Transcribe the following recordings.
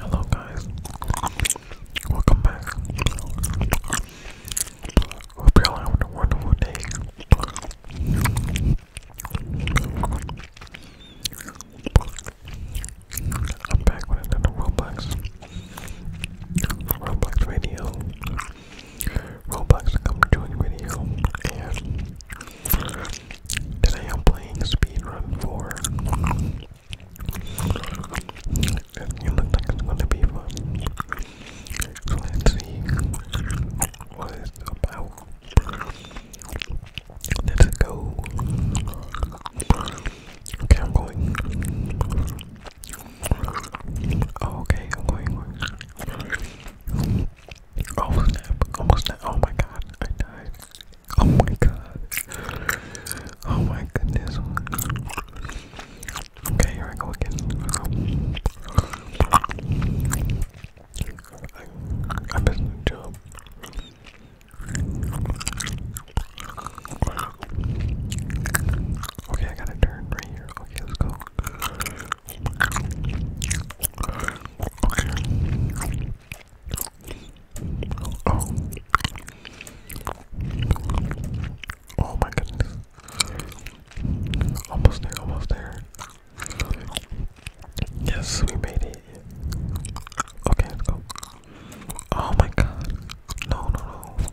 Hello, guys. Welcome back. Hope y'all having a wonderful day. I'm back with another Roblox, Roblox video. Roblox come doing video and today I'm playing speedrun four. it looks like it's gonna be fun. So let's see what about. Let's go. Okay, I'm going. Oh, okay, I'm going, going. Oh snap, oh oh my god, I died. Oh my god. Oh my goodness. Okay, here I go again. I, I missed the jump. Okay, I gotta turn right here. Okay, let's go. Okay. Oh. Oh my goodness. Almost there, almost there. Yes, we made it. Okay, let's go. Oh my god. No, no, no.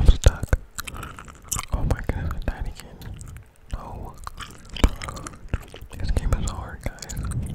I'm stuck. Oh my god, I died again. This game is hard, guys.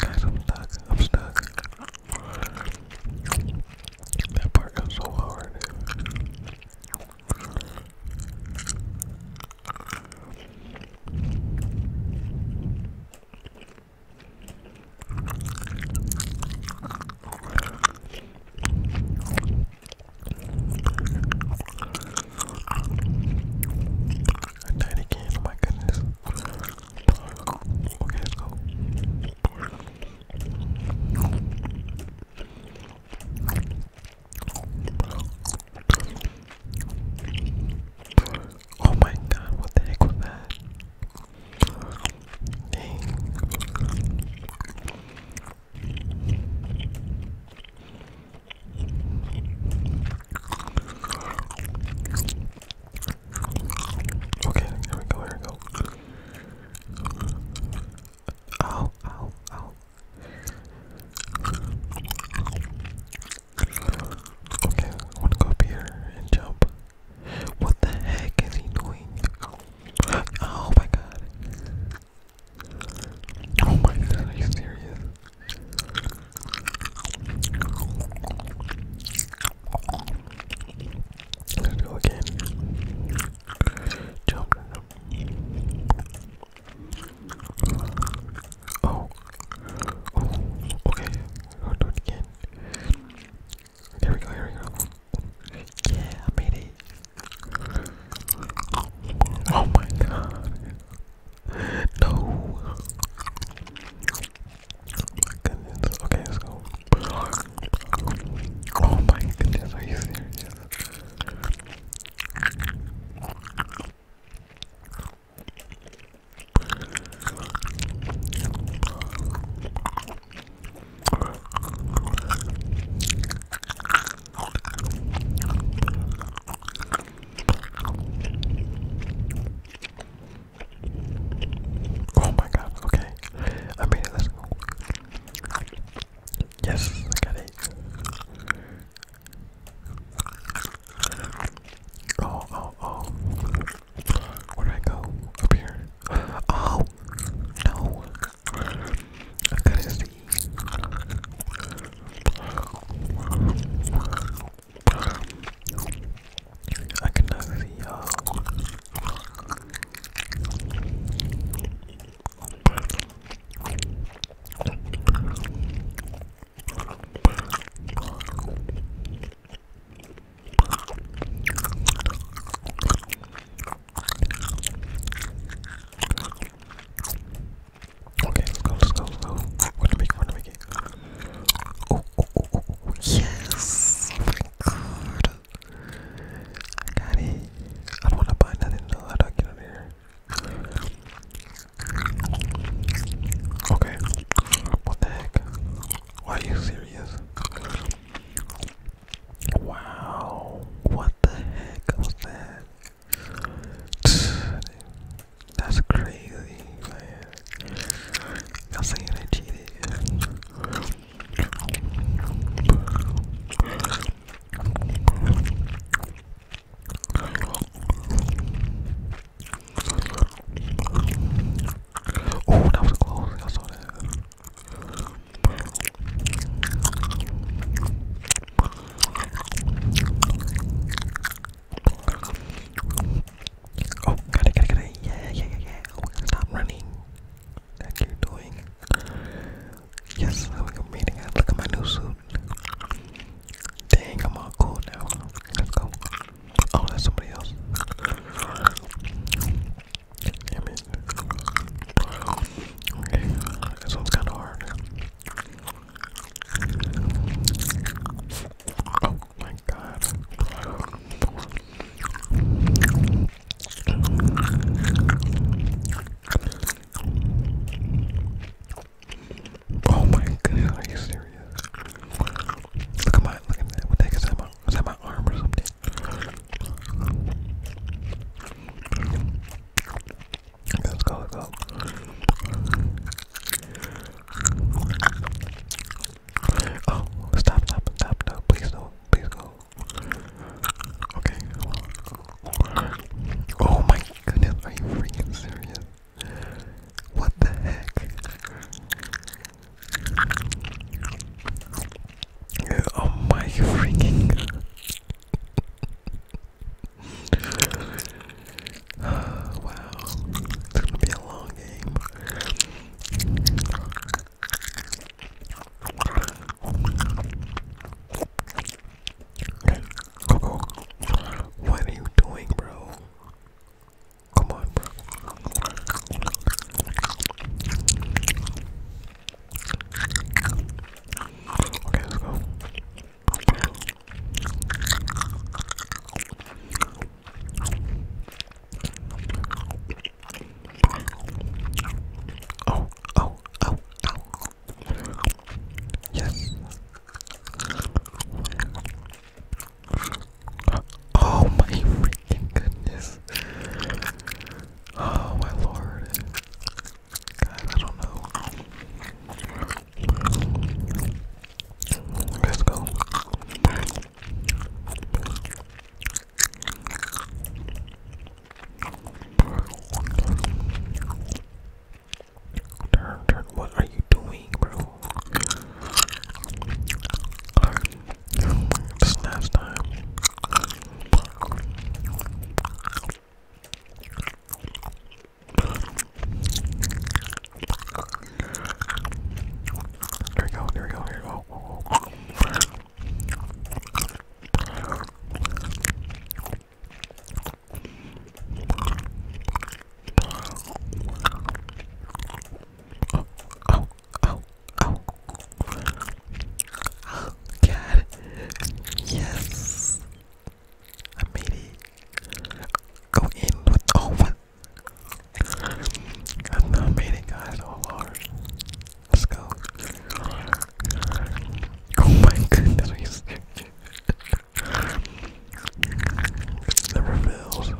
I'm stuck. I'm stuck. That part got so hard. I died again, oh my goodness. Okay, let's go. Oh my god, what the heck was that? Okay, here we go, here we go. Ow, ow, ow. Okay, wanna go up here and jump. What the heck is he doing? Oh my god. Oh my god, are you serious? Let's go again. Jump. Oh. Oh. Okay. I'll do it again. Here we go. Here we go. Yeah, I made it. Oh my god. No. Oh okay, let's go. Oh my goodness, are you serious? Oh my god, okay. I made it, let's go. Yes, I got it. Oh, oh, oh. Where do I go? Up here. Oh! No! I gotta see. I cannot see y'all. Okay, let's go, let's go, go. We're gonna make it, we're gonna make it. Oh, oh, oh, oh yes! got it. I don't wanna buy nothing though. How do I get out here? Okay. What the heck? Why are you serious? Wow, what the heck was that? That's crazy, man. Y'all saying Oh, that was close. I saw that. Oh, got it, got it, got it. Yeah, yeah, yeah, yeah. stop oh, running. That you doing. Yes, I'm meeting. Look at my new suit. Dang, I'm all cool now. Let's go. Oh, that's somebody else. I mean, kind of hard. Oh my god. Oh my goodness, are you serious? Look at my, look at that, what the heck is that my know. Was that my arm or something? Let's go, let's go. Oh, stop, stop, stop, stop. Please do please go. Okay. Oh my goodness, are you freaking serious? What the heck? Oh my freaking wow, it's gonna be a long game. Coco, what are you doing, bro? Come on, bro. Okay, let's go. Oh, oh, oh, oh. Yes. Oh my freaking goodness. Oh my lord. I don't know. Let's go. Turn, turn. What are you doing, bro? This time. There we go, there we go, here we go. Oh, God. Yes. I made it. Go in with. Oh, what? I'm not made it, guys. Oh, Let's go. Oh, my goodness never fails.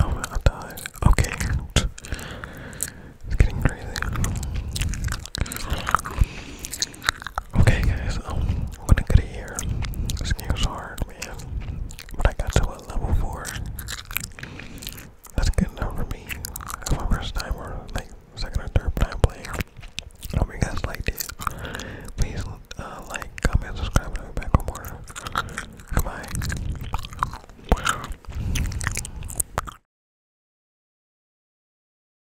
Oh, I died. Okay, it's getting crazy. Okay, guys, um, I'm gonna get it here. hard, man. But I got to a level 4. That's good enough for me. That's my first time, or like second or third time playing. hope you guys liked it. Please uh, like, comment, subscribe, and i back for more. Goodbye.